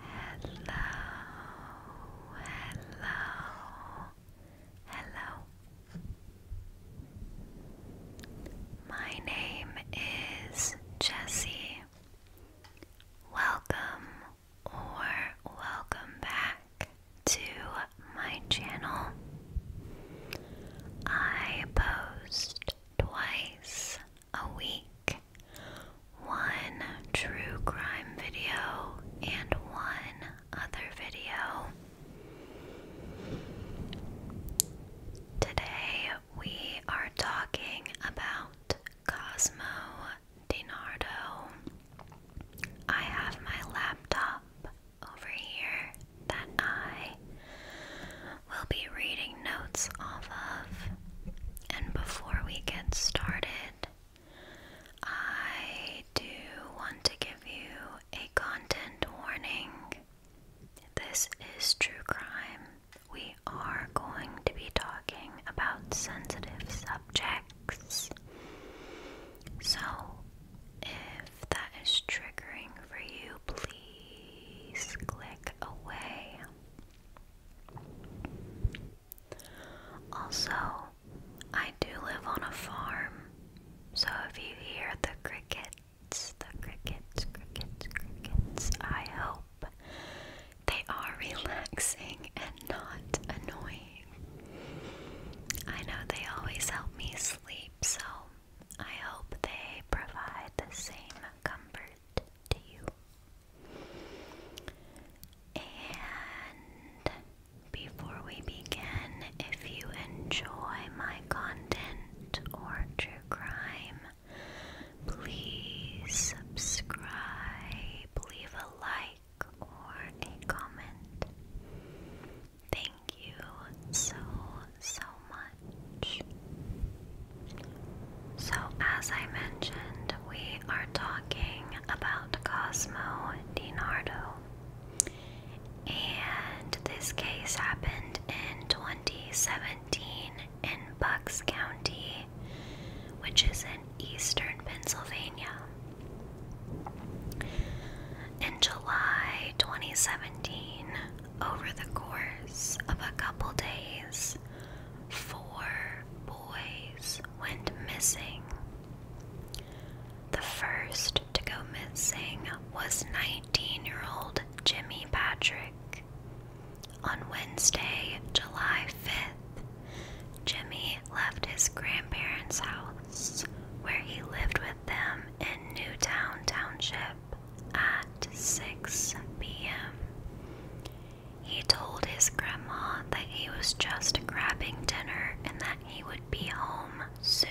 Hello, hello, hello. My name is Jessie. Welcome or welcome back to my channel. I post twice a week, one true crime video, and one other video. Today we are talking about Cosmo DiNardo. I have my laptop over here that I we will be reading notes off of. And before we get started, I do want to give you a content warning. This is true crime. We are going to be talking about sensitive subjects. So, if that is triggering for you, please click away. Also, I do live on a farm, so if you hear the crickets, the crickets, crickets, crickets, I hope they are relaxing and not annoying. I know they always help me sleep, so I hope they provide the same comfort. And before we begin, if you enjoy my content or true crime, please subscribe, leave a like, or a comment. Thank you so, so much. So, as I mentioned, we are talking about Cosmo DiNardo. And this case happened in 2017 in Bucks County, which is in eastern Pennsylvania. In July 2017, over the course of a couple days, four boys went missing. The first to go missing was 19 year old Jimmy Patrick. On Wednesday, July 5th, Jimmy left his grandparents' house where he lived with them in Newtown Township at 6 p.m. He told his grandma that he was just grabbing dinner and that he would be home soon.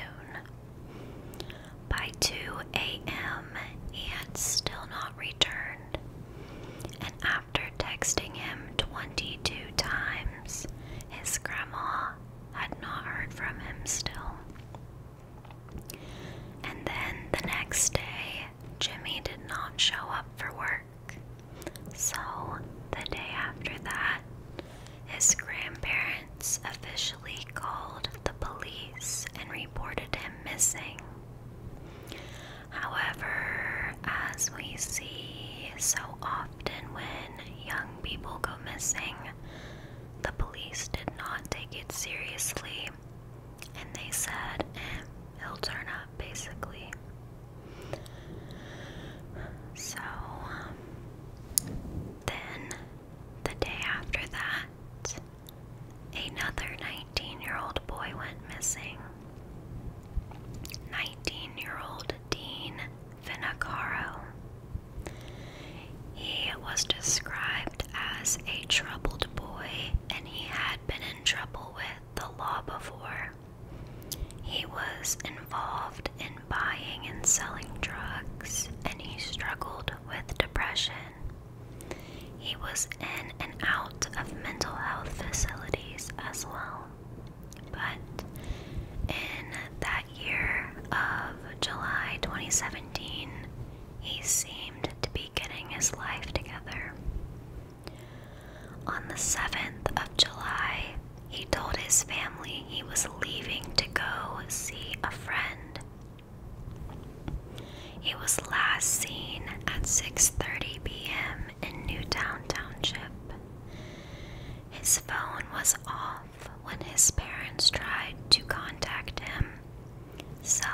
By 2 a.m., he had still not returned, and after texting him 22 times, his grandma had not heard from him still. And then the next day, Jimmy did not show up for work. So, the day after that, his grandparents officially called the police and reported him missing. However, as we see so often when young people go missing, the police did not take it seriously and they said eh, he'll turn up basically so um, then the day after that another 19 year old boy went missing 19 year old dean Finacaro. He was described as a troubled boy and he had been in trouble with the law before. He was involved in buying and selling drugs, and he struggled with depression. He was in and out of mental health facilities as well. But in that year of July 2017, he seemed to be getting his life together. On the 7th of July, he told his family he was leaving to go see a friend. He was last seen at 6:30 p.m. in Newtown Township. His phone was off when his parents tried to contact him so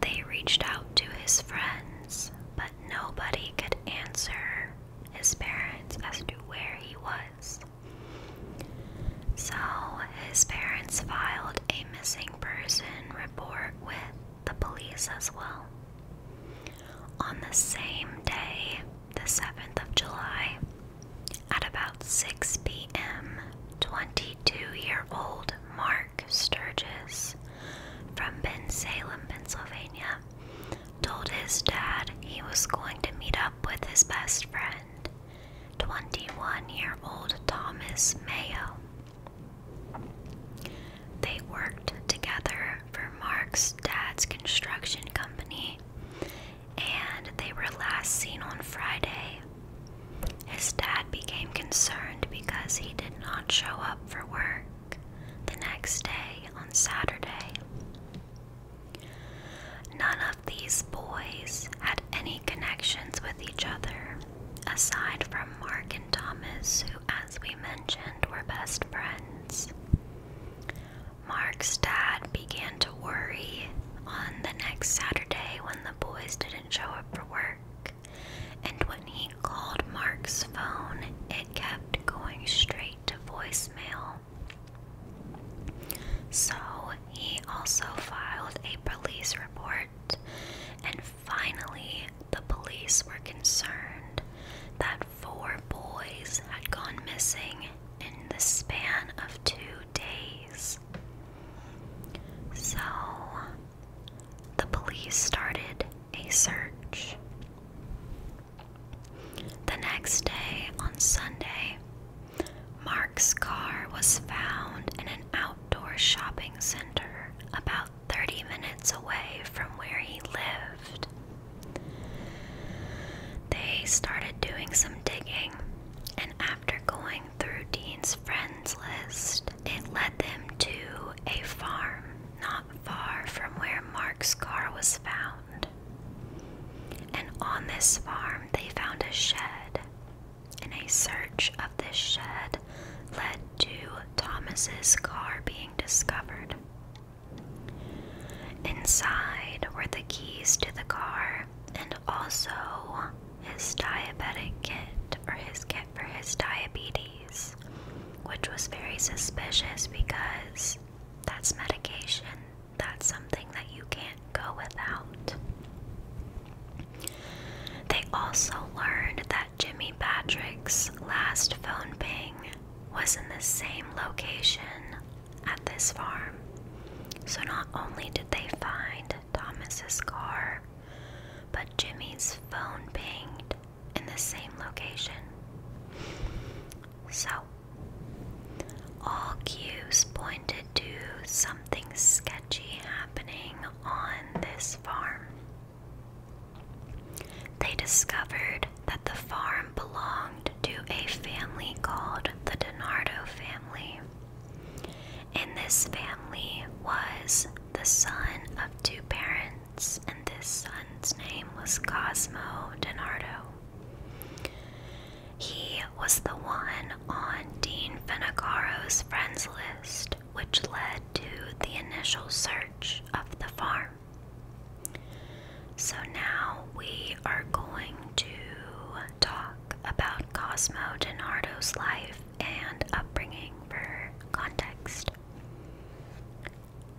they reached out to his friends, but nobody could answer his parents as to where he was. So his parents filed a missing person report with the police as well. On the same day, the 7th of July, at about 6 p.m., 22 year old Mark. Mark Sturgis from Bensalem, Pennsylvania, told his dad he was going to meet up with his best friend, 21 year old Thomas Mayo. They worked together for Mark's dad's construction company, and they were last seen on Friday, his dad became concerned because he did not show up for work the next day on Saturday. None of these boys had any connections with each other, aside from Mark and Thomas, who, as we mentioned, were best friends. Mark's dad began to worry on the next Saturday when the boys didn't show up for work and when he called Mark's phone, it kept going straight to voicemail. So he also filed a police report, and finally, the police were concerned that four boys had gone missing in the span of two days. So, the police started a search. The next day, on Sunday, Mark's car was found in an outdoor shopping center about 30 minutes away from where he lived. They started doing some digging, and after after going through Dean's friends list, it led them to a farm not far from where Mark's car was found. And on this farm, they found a shed. And a search of this shed led to Thomas's car being discovered. Inside were the keys to the car and also his diabetic kit or his kit for his diabetes, which was very suspicious because that's medication. That's something that you can't go without. They also learned that Jimmy Patrick's last phone ping was in the same location at this farm. So not only did they find Thomas's car, but Jimmy's phone pinged in the same location. So, all cues pointed to something sketchy happening on this farm. They discovered that the farm belonged to a family called the DiNardo family. And this family was the son of two parents, and this son's name was Cosmo DiNardo. He was the one on Dean Fenicaro's friends list, which led to the initial search of the farm. So now we are going to talk about Cosmo DiNardo's life and upbringing for context.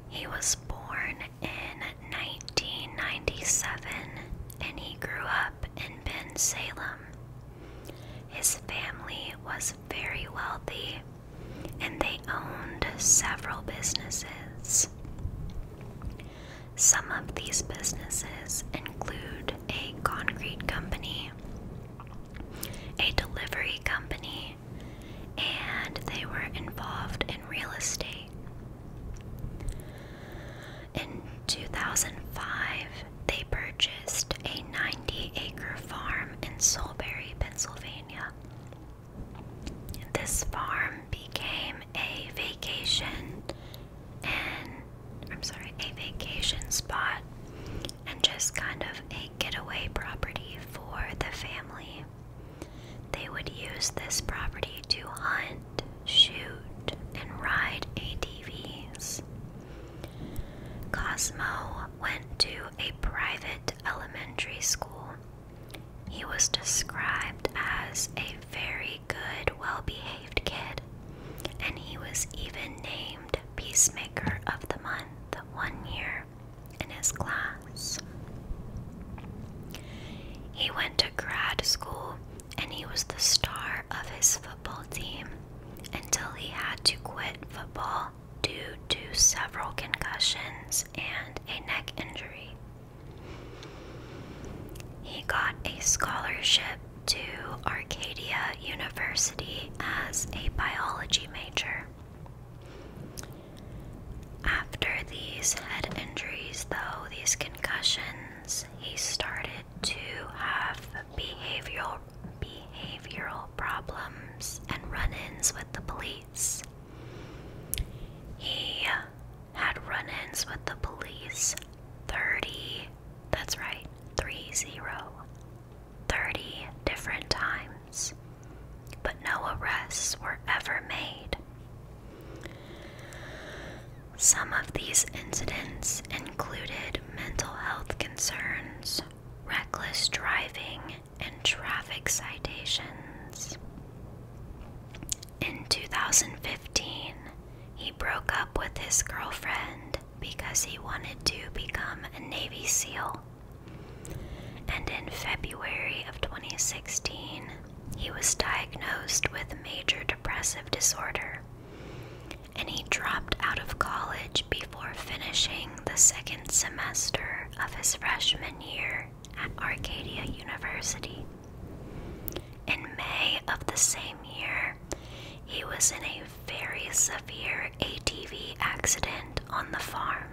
He was born in 1997 and he grew up in Ben Salem. His family was very wealthy and they owned several businesses. Some of these businesses include a concrete company, a delivery company, and they were involved in real estate. In 2005, they purchased a 90 acre farm in Solbury, Pennsylvania. This farm became a vacation and I'm sorry, a vacation spot and just kind of a getaway property for the family. They would use this property to hunt, shoot, and ride ADVs. Cosmo went to a private elementary school. He was described as a very good, well behaved kid and he was even named Peacemaker of the Month one year in his class. He went to grad school and he was the star of his football team until he had to quit football due to several concussions and a neck injury. He got a scholarship to Arcadia University as a biology major. After these head injuries, though, these concussions, he started to have behavioral behavioral problems and run-ins with the police. He had run-ins with the police 30, that's right, 30 30 different times, but no arrests were ever made. Some of these incidents included mental health concerns, reckless driving, and traffic citations. In 2015, he broke up with his girlfriend because he wanted to become a Navy SEAL. And in February of 2016, he was diagnosed with major depressive disorder. And he dropped out of college before finishing the second semester of his freshman year at Arcadia University. In May of the same year, he was in a very severe ATV accident on the farm.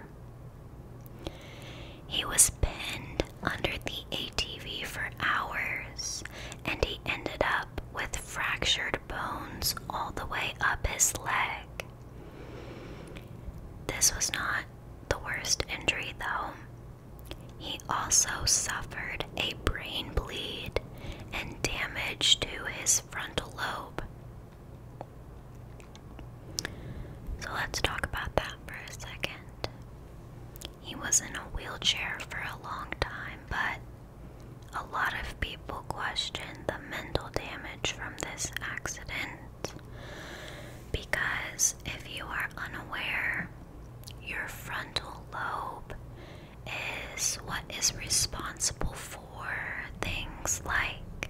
He was pinned under the ATV for hours and he ended up with fractured bones all the way up his leg. This was not the worst injury, though. He also suffered a brain bleed and damage to his frontal lobe. So let's talk about that for a second. He was in a wheelchair for a long time, but a lot of people question the mental damage from this accident because if you are unaware, your frontal lobe is what is responsible for things like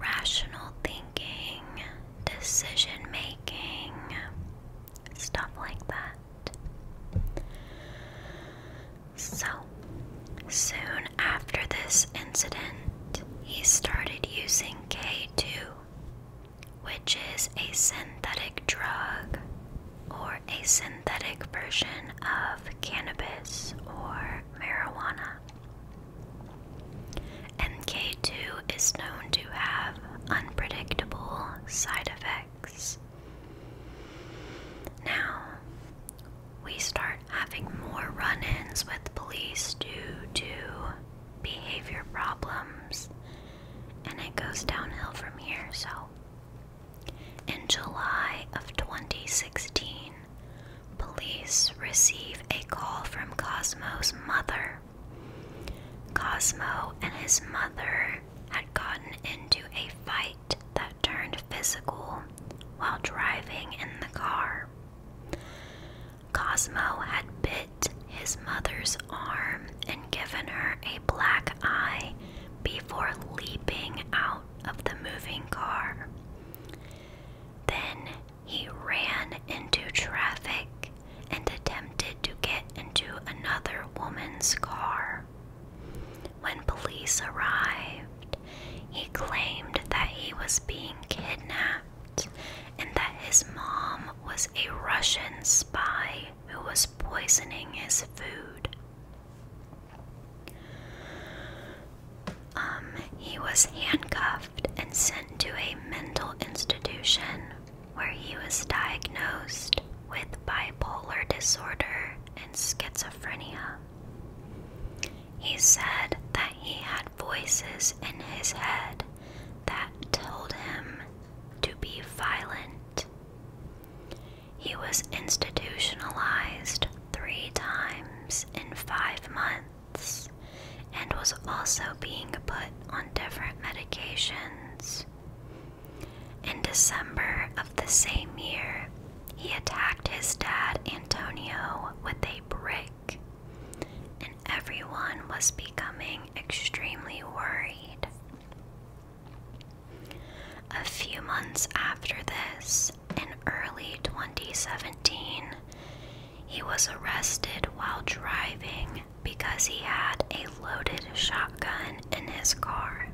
rational thinking, decision making, stuff like that. So, soon after this incident, he started using K2, which is a synthetic drug or a synthetic version of cannabis or marijuana. MK2 is known to have unpredictable side effects. Now, we start having more run ins with police due to behavior problems, and it goes downhill from here, so in July of 2016, police receive a call from Cosmo's mother. Cosmo and his mother had gotten into a fight that turned physical while driving in the car. Cosmo had bit his mother's arm and given her a black eye before leaping out of the moving car. Then he ran into traffic and attempted to get into another woman's car. When police arrived, he claimed that he was being kidnapped and that his mom was a Russian spy who was poisoning his food. Um, he was handcuffed and sent to a mental institution where he was diagnosed with bipolar disorder and schizophrenia. He said that he had voices in his head that told him to be violent. He was institutionalized three times in five months and was also being put on different medications. In December of the same year, he attacked his dad Antonio with a brick, and everyone was becoming extremely worried. A few months after this, in early 2017, he was arrested while driving because he had a loaded shotgun in his car.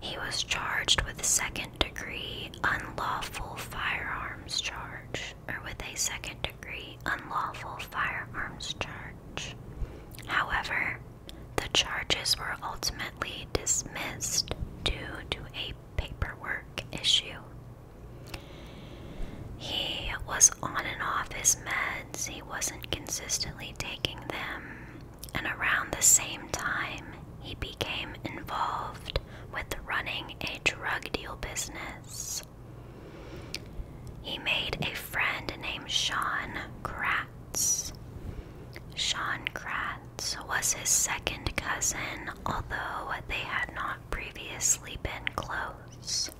He was charged with second degree unlawful firearms charge, or with a second degree unlawful firearms charge. However, the charges were ultimately dismissed due to a paperwork issue. He was on and off his meds, he wasn't consistently taking them, and around the same time, he became involved with running a drug deal business. He made a friend named Sean Kraft Sean Kratz was his second cousin, although they had not previously been close.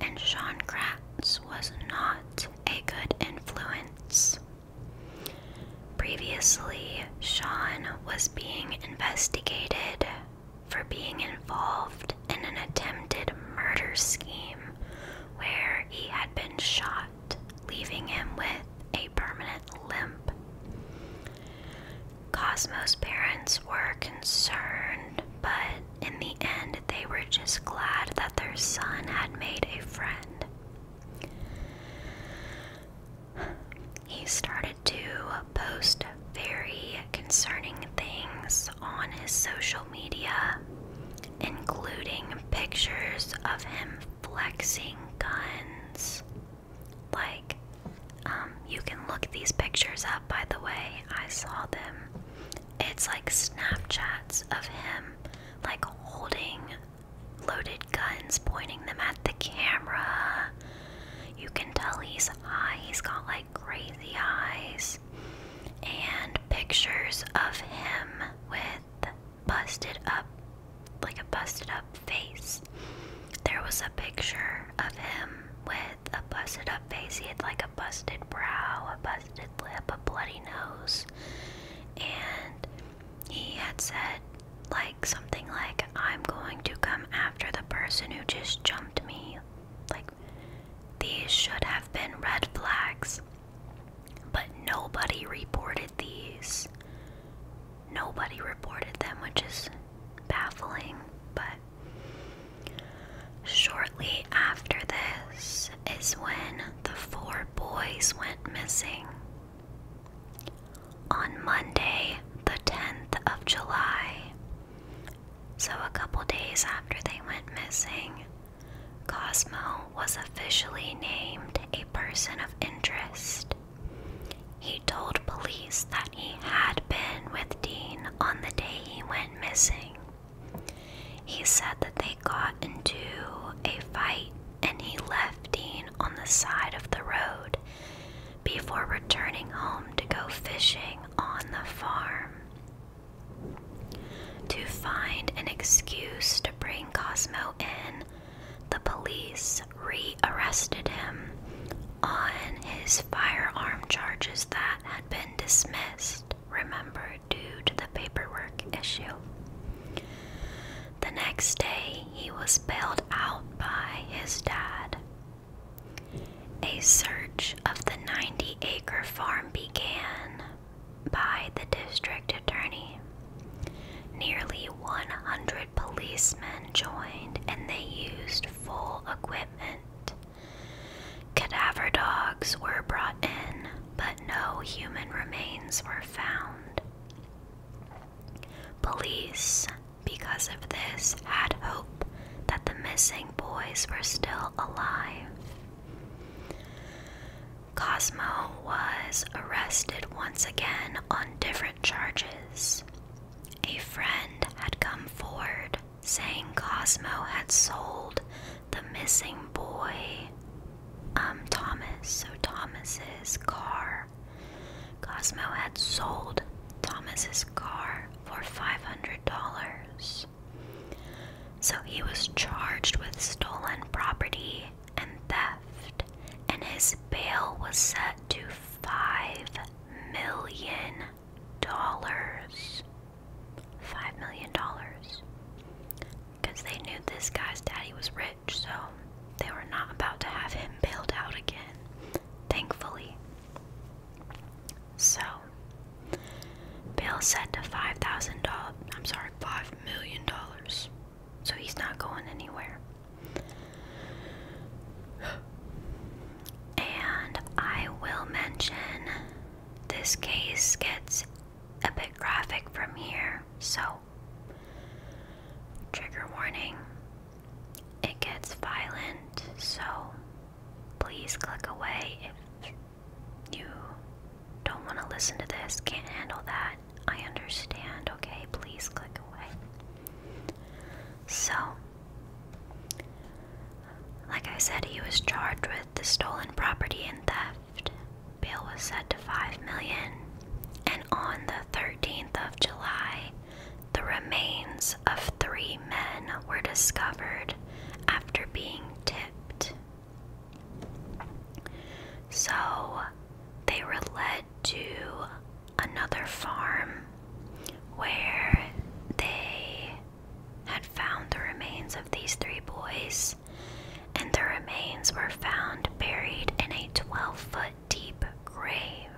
And Sean Kratz was not a good influence. Previously, Sean was being investigated for being involved in an attempted murder scheme where he had been shot, leaving him with a permanent limp. Cosmo's parents were concerned, but in the end, they were just glad that their son had made a friend. He started to post very concerning things on his social media, including pictures of him flexing guns. Like, um, you can look these pictures up, by the way. I saw them. It's like Snapchats of him, like holding loaded guns, pointing them at the camera. You can tell he's high. Ah, he's got like like crazy eyes, and pictures of him with busted up, like a busted up face. There was a picture of him with a busted up face. He had like a busted brow, a busted lip, a bloody nose, and he had said, like, something like, I'm going to come after the person who just jumped me. Like, these should have been red flags, but nobody reported these. Nobody reported them, which is baffling, but. Shortly after this is when the four boys went missing. On Monday, the 10th of July, so a couple days after they went missing, Cosmo was officially named a person of interest. He told police that he had been with Dean on the day he went missing. He said that they got into a fight and he left Dean on the side of the road before returning home to go fishing on the farm. To find an excuse to bring Cosmo in, the police re-arrested him on his firearm charges that had been dismissed, remember, due to the paperwork issue. The next day, he was bailed out by his dad. A search of the 90 acre farm began by the district attorney. Nearly 100 policemen joined and they used full equipment. Cadaver dogs were brought in, but no human remains were found. Police, because of this, had hope that the missing boys were still alive. Cosmo was arrested once again on different charges. A friend had come forward saying Cosmo had sold the missing boy, um, Thomas, so Thomas's car. Cosmo had sold Thomas's car for $500. So he was charged with stolen property and theft, and his bail was set to five million dollars. Five million dollars. Because they knew this guy's daddy was rich, so they were not about to have him bailed out again, thankfully. So Bill set to five thousand dollars I'm sorry, five million dollars. So he's not going anywhere. And I will mention this case gets a bit graphic from here, so trigger warning. It gets violent, so please click away if you don't want to listen to this, can't handle that. I understand, okay? Please click away. So, like I said, he was charged with the stolen property and theft. Bail was set to 5 million, and on the 13th of July, the remains of three men were discovered after being tipped so they were led to another farm where they had found the remains of these three boys, and the remains were found buried in a 12 foot deep grave.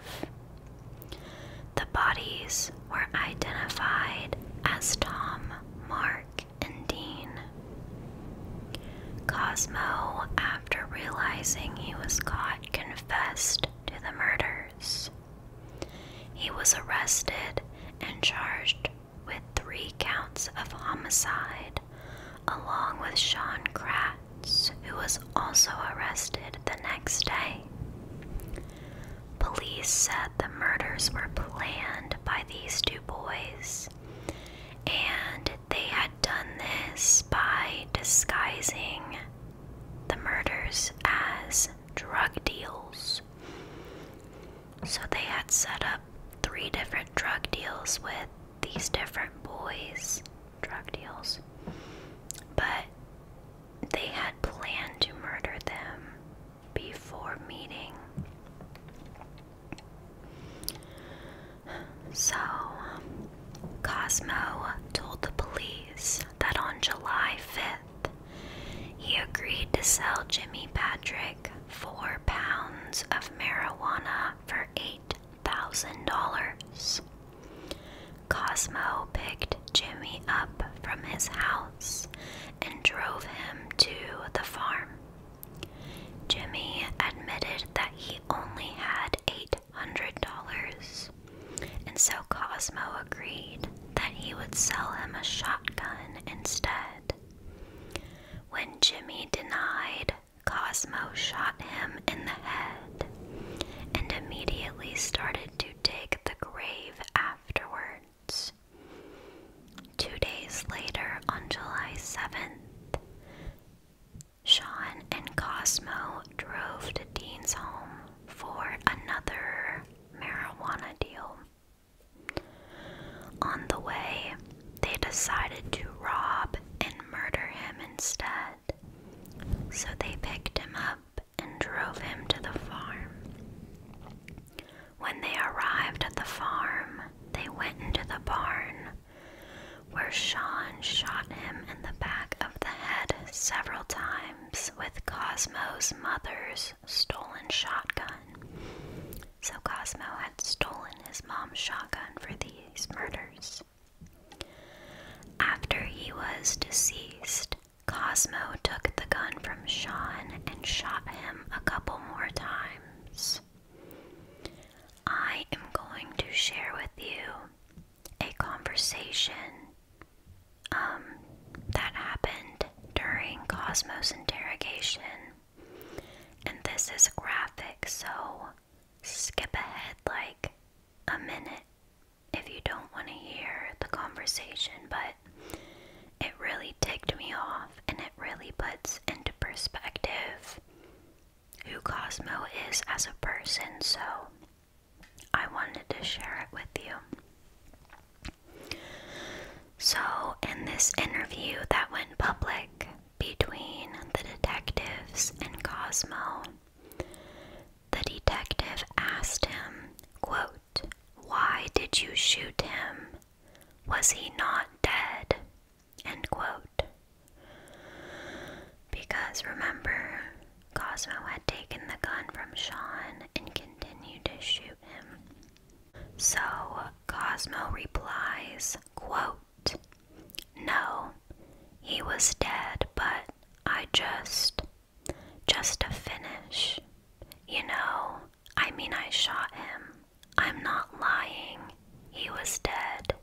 The bodies were identified as Tom Mark. Cosmo, after realizing he was caught, confessed to the murders. He was arrested and charged with three counts of homicide, along with Sean Kratz, who was also arrested the next day. Police said the murders were planned by these two boys, and they had done this by disguising the murders as drug deals. So they had set up three different drug deals with these different boys, drug deals, but they had planned to murder them before meeting. So, Cosmo told the police that on July 5th, he agreed to sell Jimmy Patrick four pounds of marijuana for $8,000. Cosmo picked Jimmy up from his house and drove him to the farm. Jimmy admitted that he only had $800, and so Cosmo agreed that he would sell him a shotgun instead. When Jimmy denied, Cosmo shot him in the head and immediately started to dig the grave afterward. Two days later, on July 7th, Sean and Cosmo drove to Dean's home for another marijuana deal. On the way, they decided to rob and murder him instead, so they picked him up and drove him to the farm. When they arrived at the farm, they went into the barn, where Sean shot him in the back of the head several times with Cosmo's mother's stolen shotgun. So Cosmo had stolen his mom's shotgun for these murders. After he was deceased, Cosmo took the gun from Sean and shot him a couple more times. I am going to share with you a conversation um, that happened during Cosmo's interrogation. And this is graphic, so skip ahead like a minute if you don't want to hear the conversation, but it really ticked me off and it really puts into perspective who Cosmo is as a person, so I wanted to share it with you. So, in this interview that went public between the detectives and Cosmo, the detective asked him, quote, why did you shoot him? Was he not dead? Because remember, Cosmo had taken the gun from Sean and continued to shoot him. So Cosmo replies, quote, No, he was dead, but I just just to finish. You know, I mean, I shot him. I'm not lying. He was dead.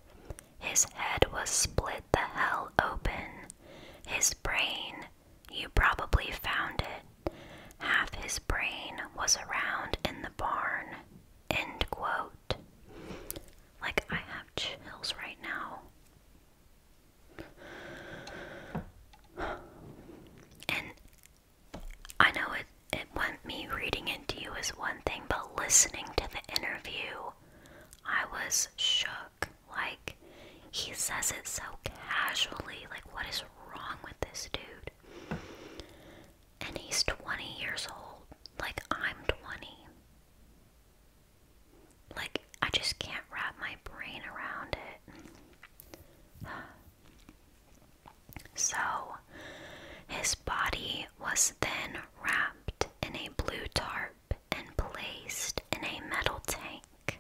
His head was split the hell open. His brain, you probably found it. Half his brain was around in the barn. End quote. Like, I have chills right now. And I know it it went me reading into you is one thing, but listening to the interview, I was shook. Like he says it so casually, like what is wrong with this dude? And he's 20 years old. Like I'm 20. Like I just can't wrap my brain around it. So, his body was then wrapped in a blue tarp and placed in a metal tank.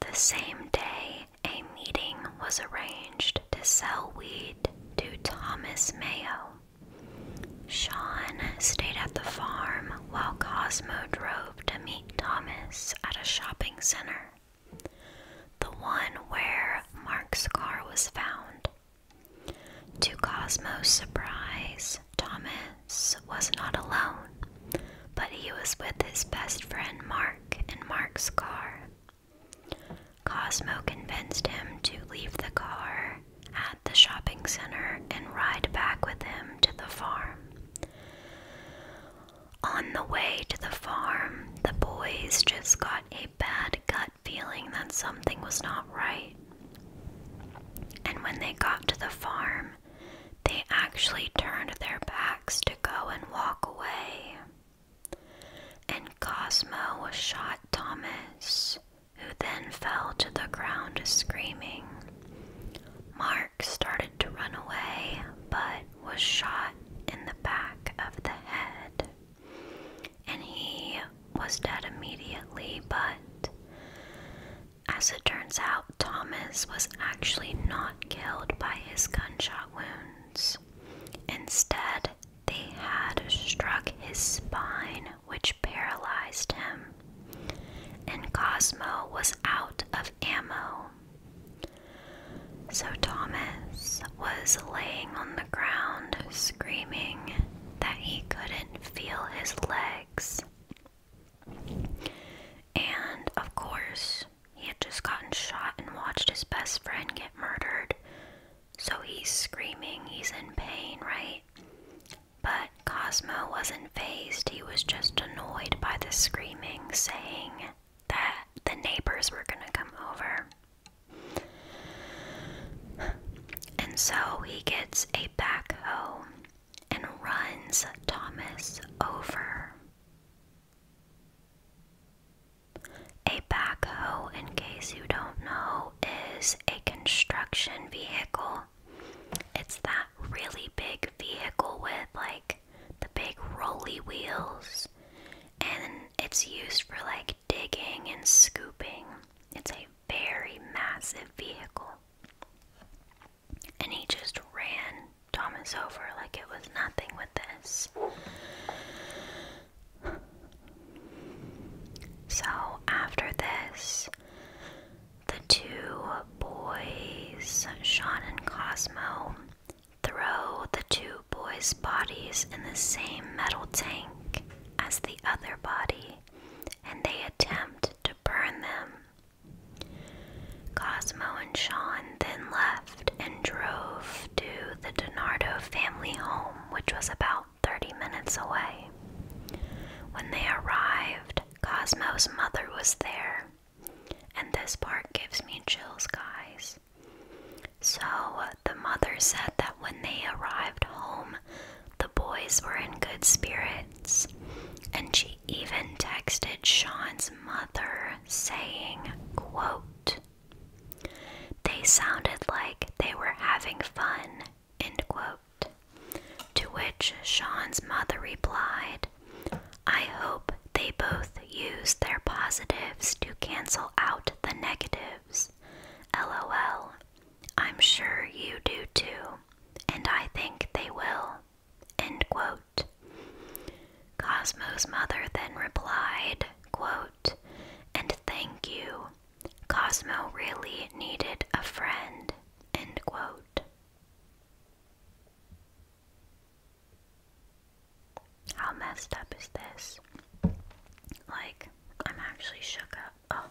The same day, a meeting was arranged to sell weed to Thomas Mayo. Sean stayed at the farm while Cosmo drove to meet Thomas at a shopping center, the one where Mark's car was found. To Cosmo's surprise, Thomas was not alone, but he was with his best friend Mark in Mark's car. Cosmo convinced him to leave the car at the shopping center and ride back with him to the farm. On the way to the farm, the boys just got a bad gut feeling that something was not right. And when they got to the farm, they actually turned their backs to go and walk away. And Cosmo shot Thomas, who then fell to the ground screaming. Mark started to run away but was shot in the back of the head. And he was dead immediately, but as it turns out, Thomas was actually not killed by his gunshot wounds. Instead, they had struck his spine, which paralyzed him and Cosmo was out of ammo. So Thomas was laying on the ground, screaming that he couldn't feel his legs. And of course, he had just gotten shot and watched his best friend get murdered. So he's screaming, he's in pain, right? But Cosmo wasn't phased, he was just annoyed by the screaming, saying that the neighbors were gonna come over. And so he gets a backhoe and runs Thomas over. A backhoe, in case you don't know, is a construction vehicle it's that really big vehicle with like the big rolly wheels, and it's used for like digging and scooping. It's a very massive vehicle. And he just ran Thomas over like it was nothing with this. So after this, the two boys, Sean and Cosmo, throw the two boys' bodies in the same metal tank as the other body and they attempt to burn them. Cosmo and Sean then left and drove to the Donardo family home, which was about 30 minutes away. When they arrived, Cosmo's mother was there, and this part gives me chills, guys. So, the mother said that when they arrived home, the boys were in good spirits, and she even texted Sean's mother saying, quote, They sounded like they were having fun End quote. To which Sean's mother replied, I hope they both use their positives to cancel out the negatives. LOL. I'm sure you do too, and I think they will. End quote. Cosmo's mother then replied, quote, and thank you. Cosmo really needed a friend. End quote. How messed up is this? Like, I'm actually shook up. Oh.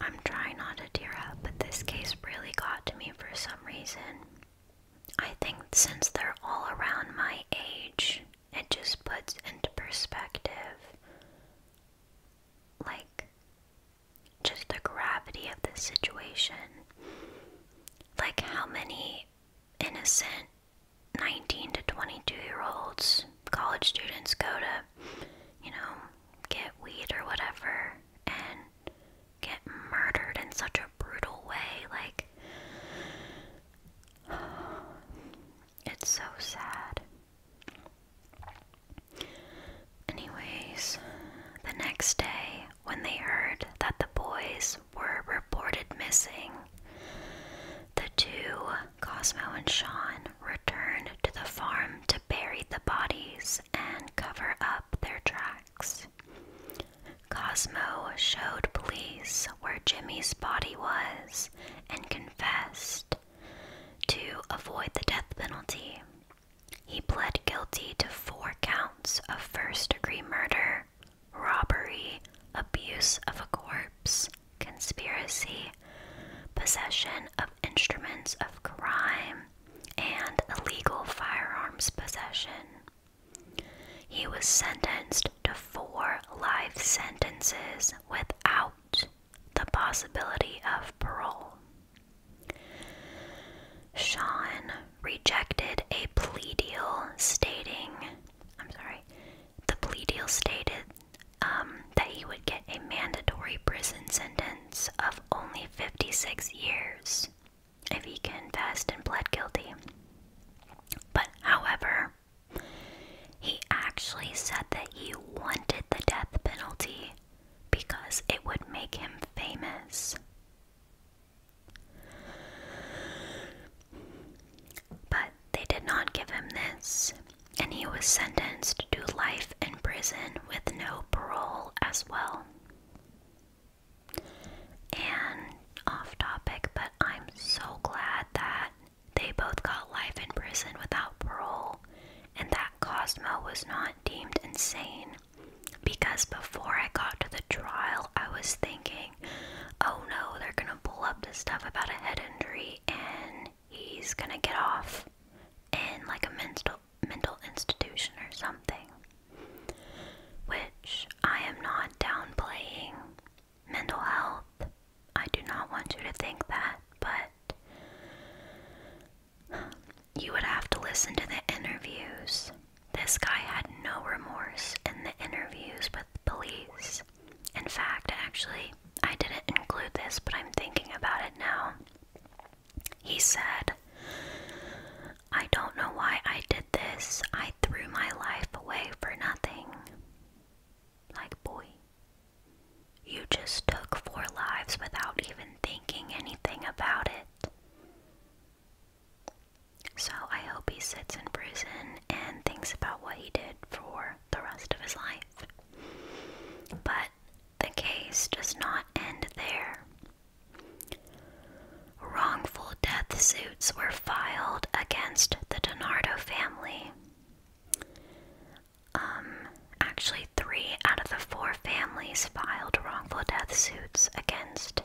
I'm trying not to tear up, but this case really got to me for some reason. I think since they're all around my age, it just puts into perspective like just the gravity of this situation. Like, how many innocent 19 to 22 year olds, college students go to, you know, get weed or whatever and get murdered in such a brutal way? Like, it's so sad. Anyways, the next day, when they heard that the boys were reported missing, the two, Cosmo and Sean, returned to the farm to bury the bodies and cover up their tracks. Cosmo showed police where Jimmy's body was and confessed to avoid the death penalty, he pled guilty to four counts of first degree murder, robbery, abuse of a corpse, conspiracy, possession of instruments of crime, and illegal firearms possession. He was sentenced to four life sentences without the possibility of parole. Sean rejected a plea deal stating, I'm sorry, the plea deal stated um, that he would get a mandatory prison sentence of only 56 years if he confessed and pled guilty. But, however, he actually said that he wanted the death penalty because it would make him famous. But they did not give him this, and he was sentenced to life in prison with no parole as well. And off topic, but I'm so glad that they both got life in prison without parole, and that Cosmo was not deemed insane because before I got to the trial, I was thinking, oh no, they're gonna pull up this stuff about a head injury and he's gonna get off in like a mental mental institution or something. Which I am not downplaying mental health. I do not want you to think that, but you would have to listen to the interviews. This guy had no remorse in the interviews with the police. In fact, actually, I didn't include this, but I'm thinking about it now. He said, I don't know why I did this. I threw my life away for nothing. Like, boy, you just took four lives without even thinking anything about it. So I hope he sits in prison and thinks about what he did for the rest of his life. But the case does not end there. Wrongful death suits were filed against the DiNardo family. Um, actually, three out of the four families filed wrongful death suits against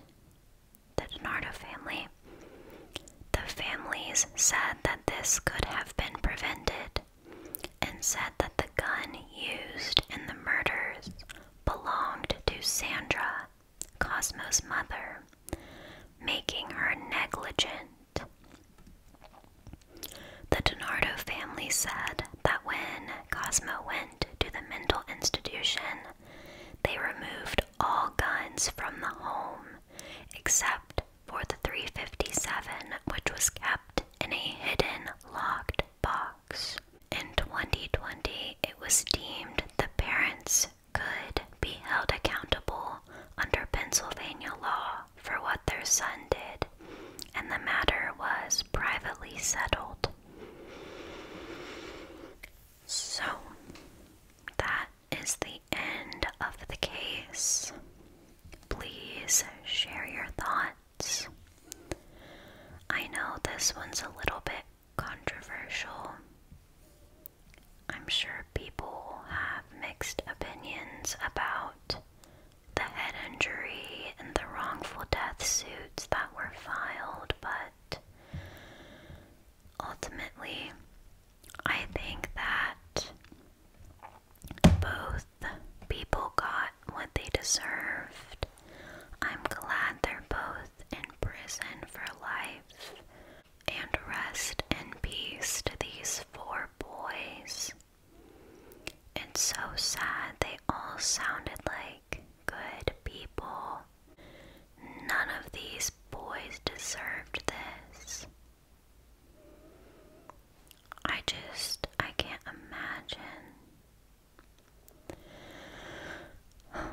the DiNardo family. The families said that this could have been prevented and said that the gun used in the murders belonged to Sandra, Cosmo's mother, making her negligent the DiNardo family said that when Cosmo went to the mental institution, they removed all guns from the home except for the 357, which was kept in a hidden locked box. In 2020, it was deemed the parents could be held accountable under Pennsylvania law for what their son did, and the matter was privately settled. So, that is the end of the case. Please share your thoughts. I know this one's a little bit controversial. I'm sure people have mixed opinions about the head injury and the wrongful death suits that were filed, but ultimately, I think that both people got what they deserved. I'm glad they're both in prison for life. And rest in peace to these four boys and so sad, they all sounded like good people. None of these boys deserved this. I just, I can't imagine.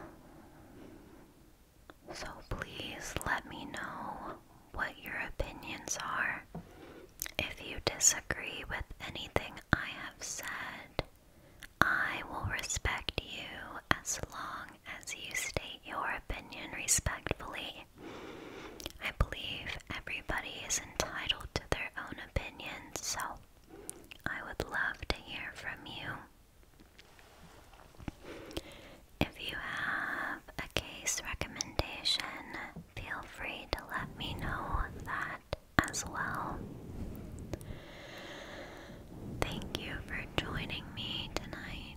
So please let me know what your opinions are. If you disagree with anything I have said, I will respect you as long as you state your opinion respectfully. I believe everybody is entitled to their own opinion, so I would love to hear from you. If you have a case recommendation, feel free to let me know that as well. Thank you for joining me tonight,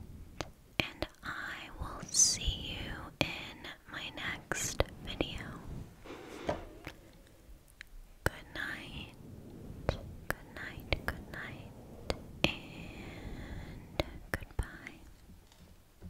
and I will see you in my next video. Good night, good night, good night, and goodbye.